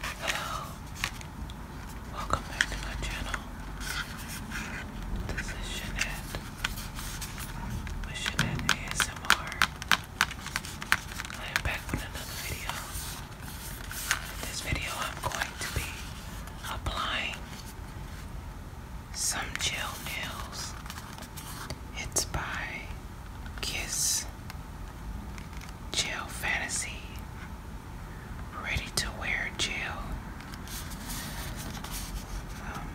Hello, welcome back to my channel. This is Jeanette with ASMR. I am back with another video. this video, I'm going to be applying some gel nails. It's by Kiss Jail fantasy. Ready to wear jail. Um,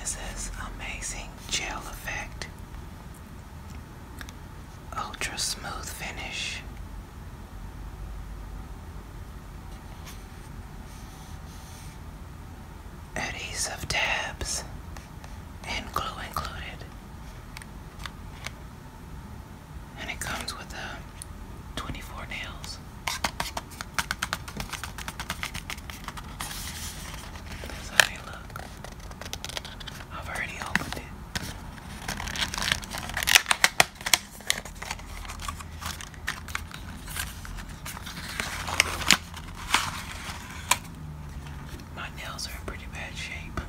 it says amazing gel effect. Ultra smooth finish. At of tabs and glue included. And it comes with a uh, 24 nails. That's how they look. I've already opened it. My nails are in pretty bad shape.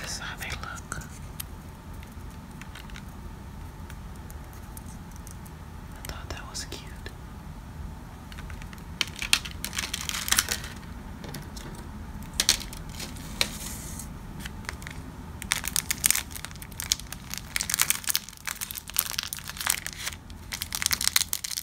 This is how they look. I thought that was cute. Oh,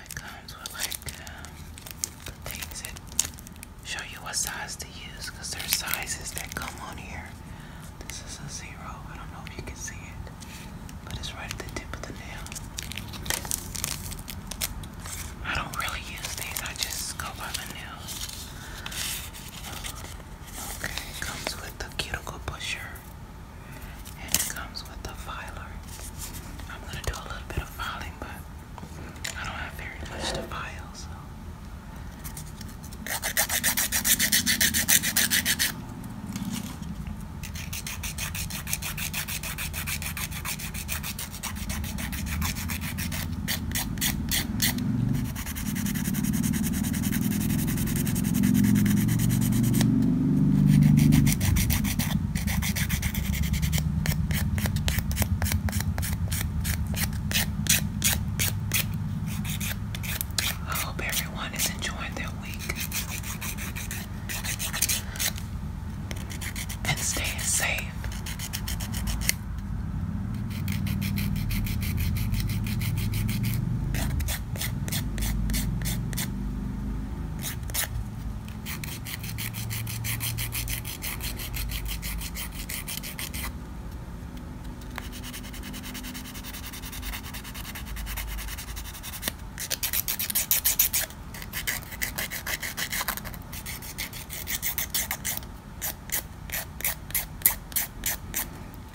it comes with like um, the things that show you what size to use because there's sizes that come on here. This is a zero. I don't know if you can see it, but it's right at the tip of the nail. I don't really use these, I just go by the nails. Okay, comes with the cuticle pusher and it comes with the filer. I'm gonna do a little bit of filing, but I don't have very much to file, so. I hope everyone is enjoying their week and staying safe.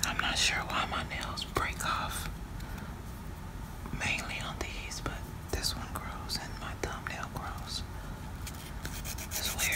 I'm not sure why my nails break off mainly on these, but this one grows and my thumbnail grows. That's weird.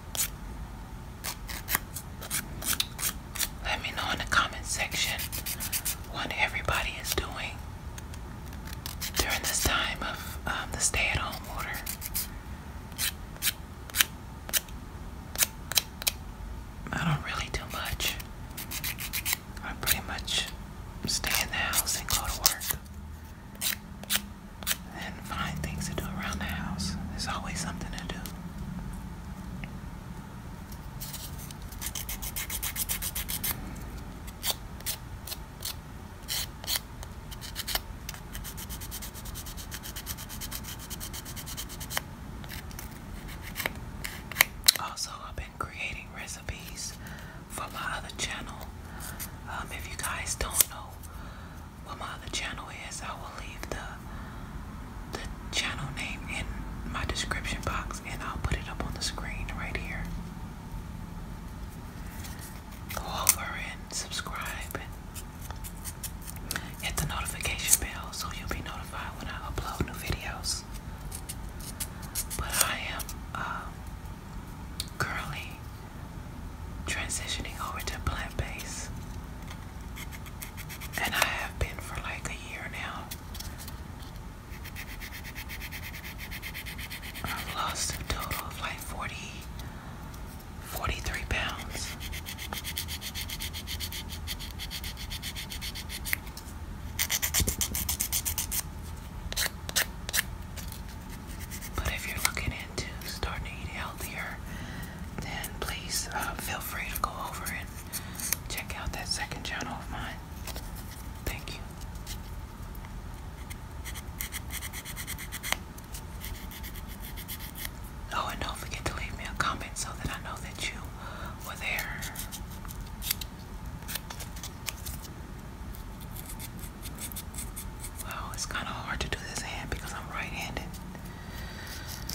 Let me know in the comment section what everybody is doing during this time of um, the stay at home order. I don't really do much. I pretty much stay in the house and go to work. And find things to do around the house. There's always something to do. Also, I've been creating recipes for my other channel. Um, if you guys don't know, what my other channel is, I will leave the the channel name in my description box and I'll put it up on the screen right here. Go over and subscribe hit the notification bell so you'll be notified when I upload new videos. But I am um, currently transitioning over to plant-based and I have been for like a year now. I've lost a total of like 40, 43 pounds. But if you're looking into starting to eat healthier, then please uh, feel free to go over and check out that second channel of mine. Thank you. Oh, and don't forget to leave me a comment so that I know that you were there. Wow, it's kind of hard to do this hand because I'm right handed.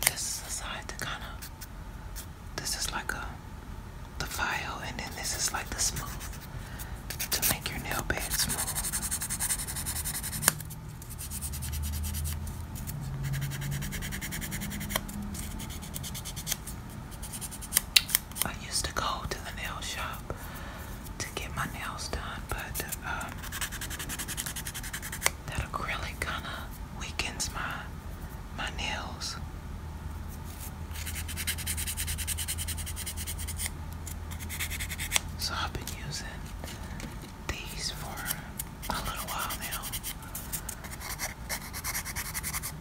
This is the side that kind of, this is like a, the file, and then this is like the smooth to make your nail bed smooth. I used to go to the nail shop to get my nails done, but um, that acrylic kind of weakens my my nails. So I've been using these for a little while now.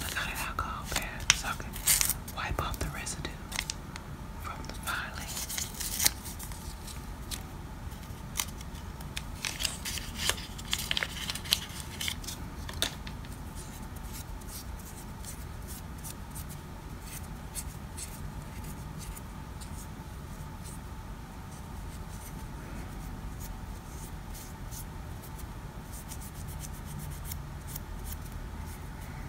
I got an alcohol pad so wipe off the residue from the filing.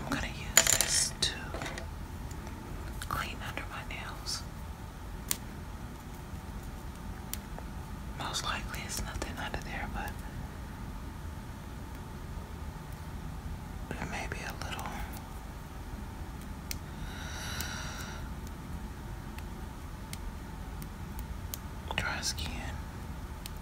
I'm going to use this to clean under my nails. Most likely it's nothing under there, but there may be a little. Dry skin.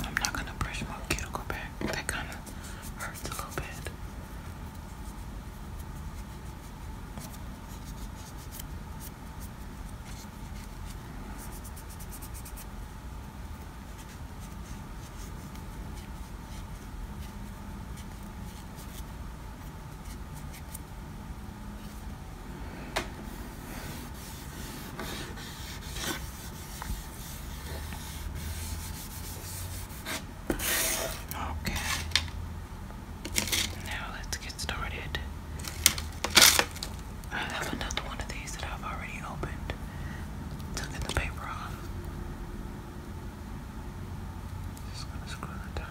I'm not gonna brush my cuticle back. That kind of hurts a little bit. Okay. Now let's get started. I have another one of these that I've already opened. Tucking the paper off. Just gonna screw the top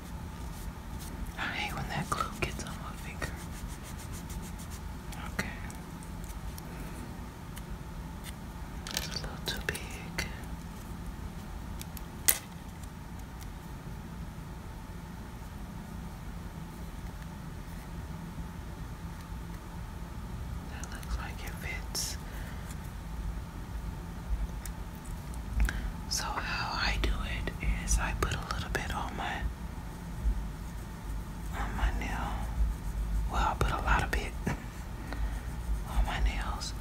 I hate when that glue gets on my finger. Okay. It's a little too big. That looks like it fits. So, how I do it is I put a little bit on my on my nail. Well, I put a lot of bit on my nails,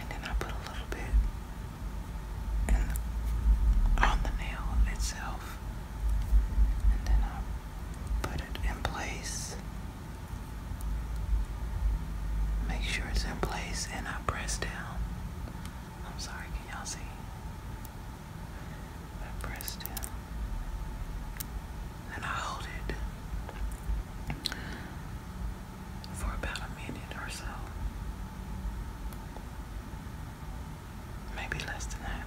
and then I put a little bit on the nail itself, and then I put it in place. Make sure it's in place, and I press down. I'm sorry, can y'all see? I press down. And I hold it for about a minute or so. Maybe less than that.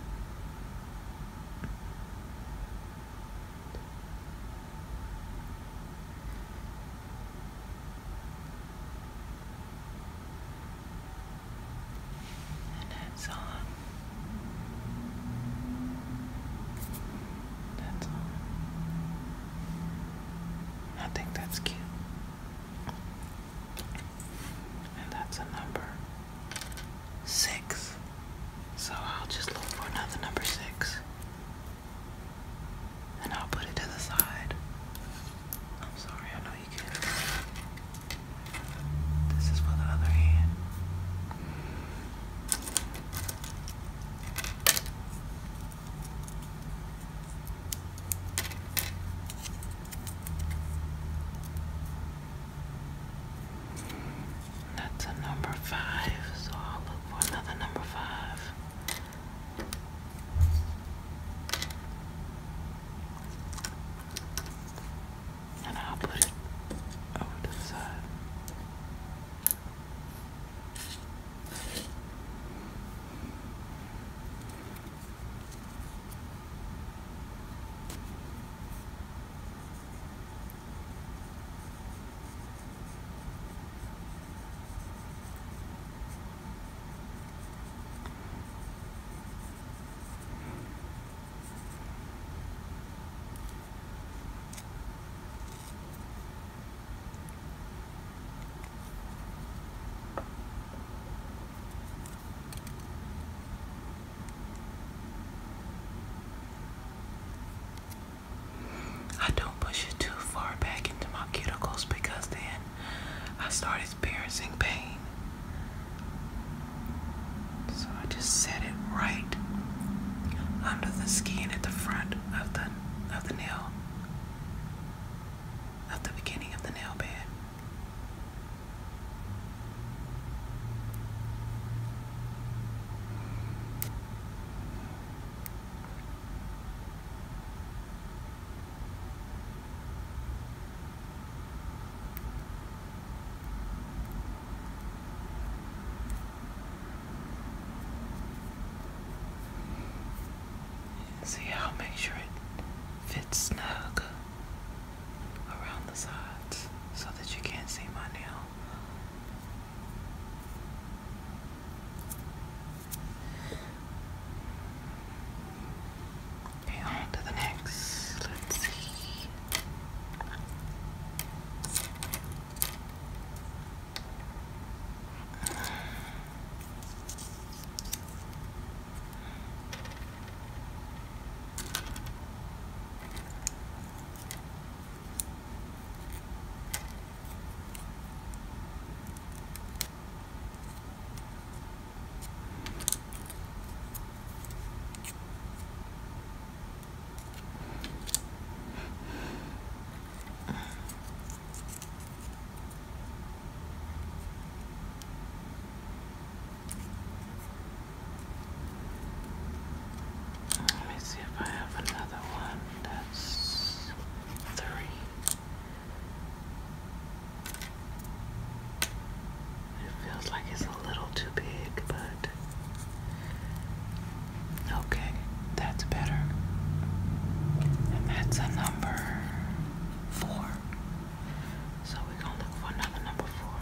And that's all. That's all. I think that's cute. And that's a number six. So I'll just look for another number six and I'll put it to the side. I'm sorry, I know you can't. This is for the other hand. That's a number five, so I'll look for another number five. And I'll put it over I don't push it too far back into my cuticles because then I started experiencing pain. So I just set it right under the skin at the front of the of the nail of the beginning of the nail bed. See how I'll make sure it fits snug around the sides so that you can't see my nail. Okay, on to the next. Let's see. Let me see if I have another one that's three. It feels like it's a little too big, but okay, that's better. And that's a number four. So we're gonna look for another number four.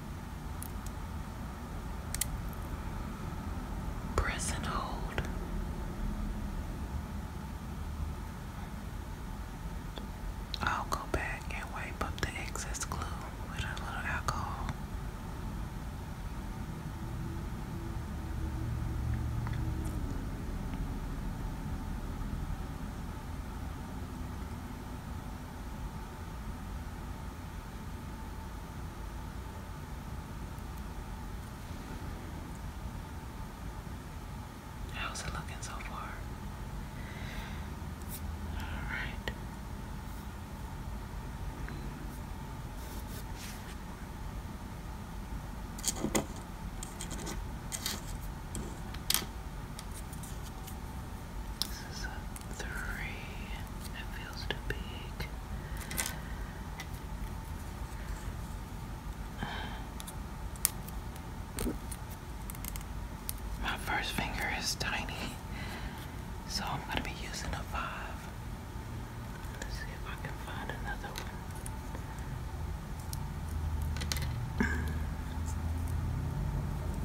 Press and hold. I'll go back and wipe up the excess glue with a little alcohol. How's it looking so far? Alright. This is a three. It feels too big. My first finger is tiny, so I'm going to be using a five. Let's see if I can find another one.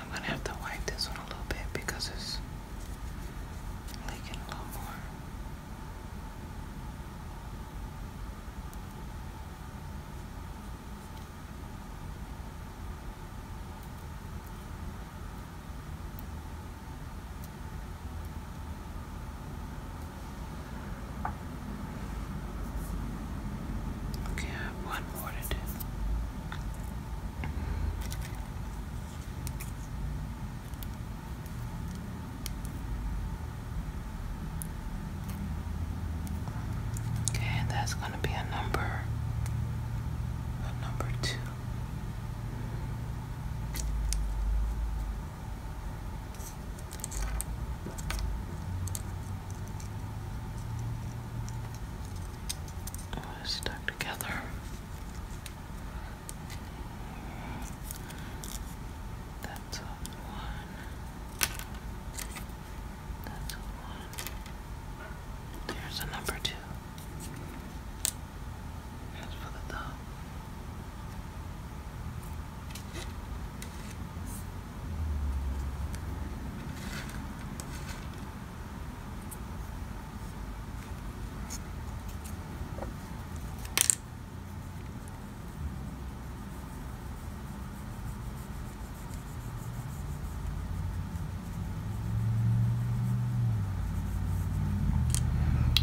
I'm gonna have to wipe this one a little bit because it's leaking a little more. Okay, I have one more to do. Okay, that's going to be a number, a number two. Stuck together. That's a one. That's one. There's a number two. That's for the thumb.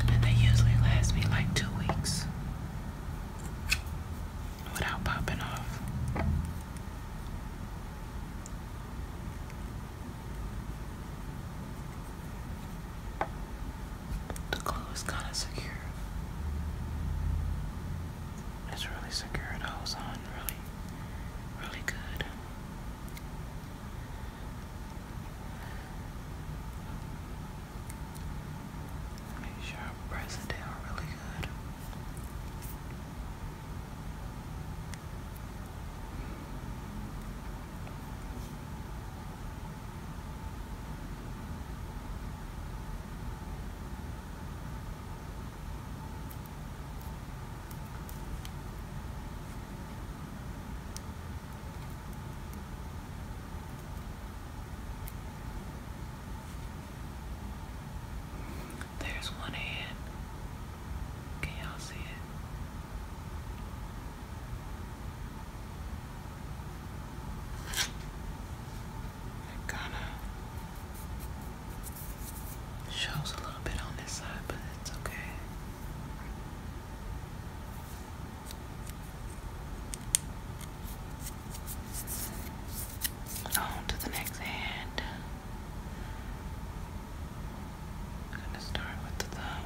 And they usually last me like two weeks without popping off. The glue is kind of secure. It's really secure. It holds on really, really good. Make sure I press it down really good. There's one hand. Can y'all see it? Gotta of shows a little bit on this side, but it's okay. On to the next hand. gonna start with the thumb.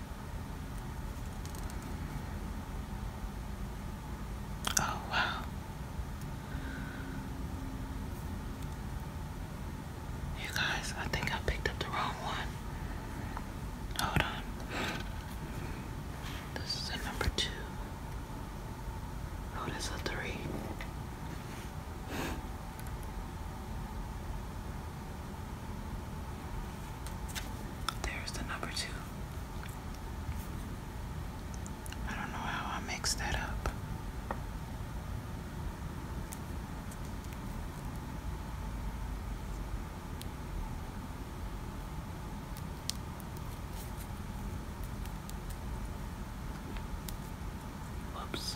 Oh, wow. You guys, I think I picked up the wrong one. Hold on. This is a number two. Oh, that's a three. There's the number two. I don't know how I mixed that up. Whoops.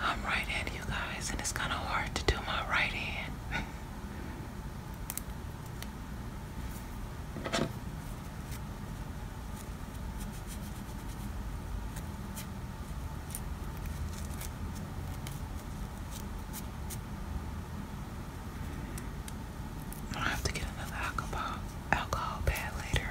I'm right handed, you guys, and it's kind of hard to do my right hand. I have to get another alcohol alcohol pad later.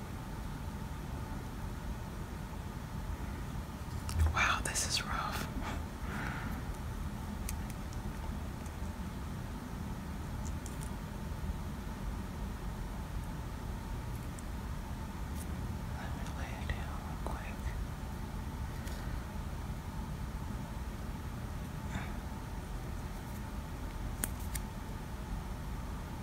Wow, this is rough. Let me lay down real quick.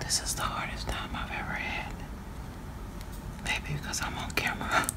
This is the hardest time I've ever had. Maybe because I'm on camera.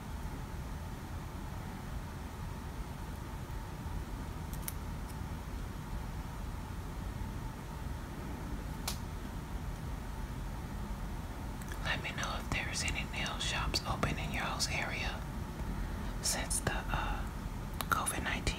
Let me know if there's any nail shops open in your all's area since the uh, COVID 19.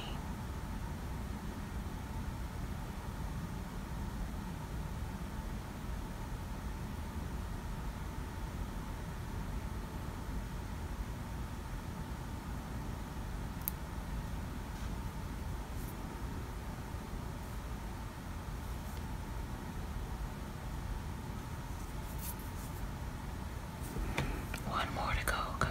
One more to go, guys.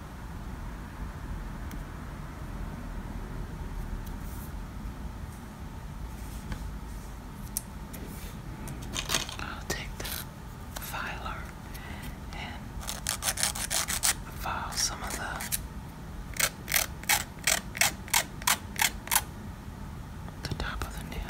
I'll take the filer and file some of the the top of the nail.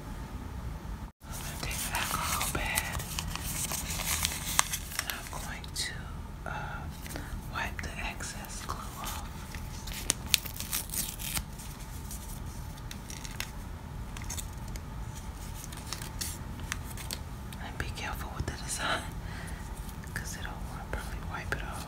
I'm going to take an alcohol pad and I'm going to uh, wipe the excess glue off. And be careful with the design it'll probably wipe it off.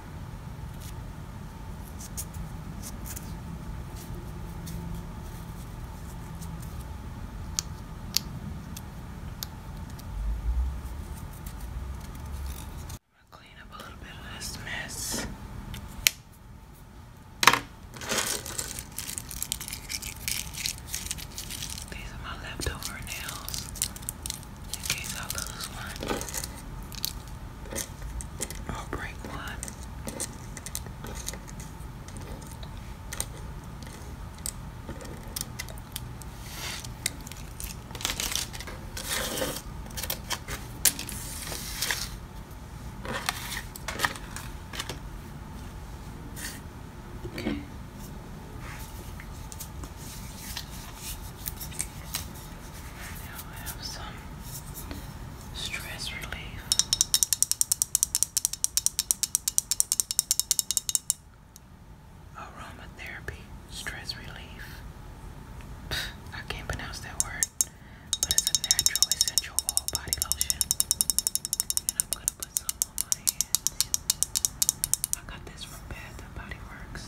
Clean up a little bit of this mess. These are my leftover nails case I lose one or break one. Okay. Now I have some stress relief. Aromatherapy, stress relief. I can't pronounce that word, but it's a natural essential oil body lotion. And I'm gonna put some on my hands. I got this from Bath and Body Works.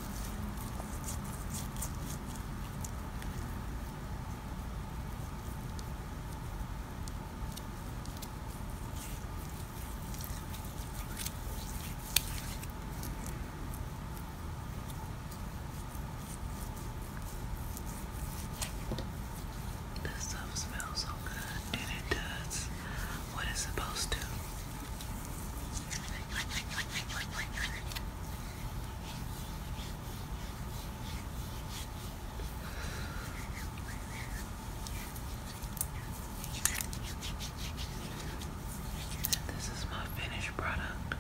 This stuff smells so good, and it does what it's supposed to. This is my finished product.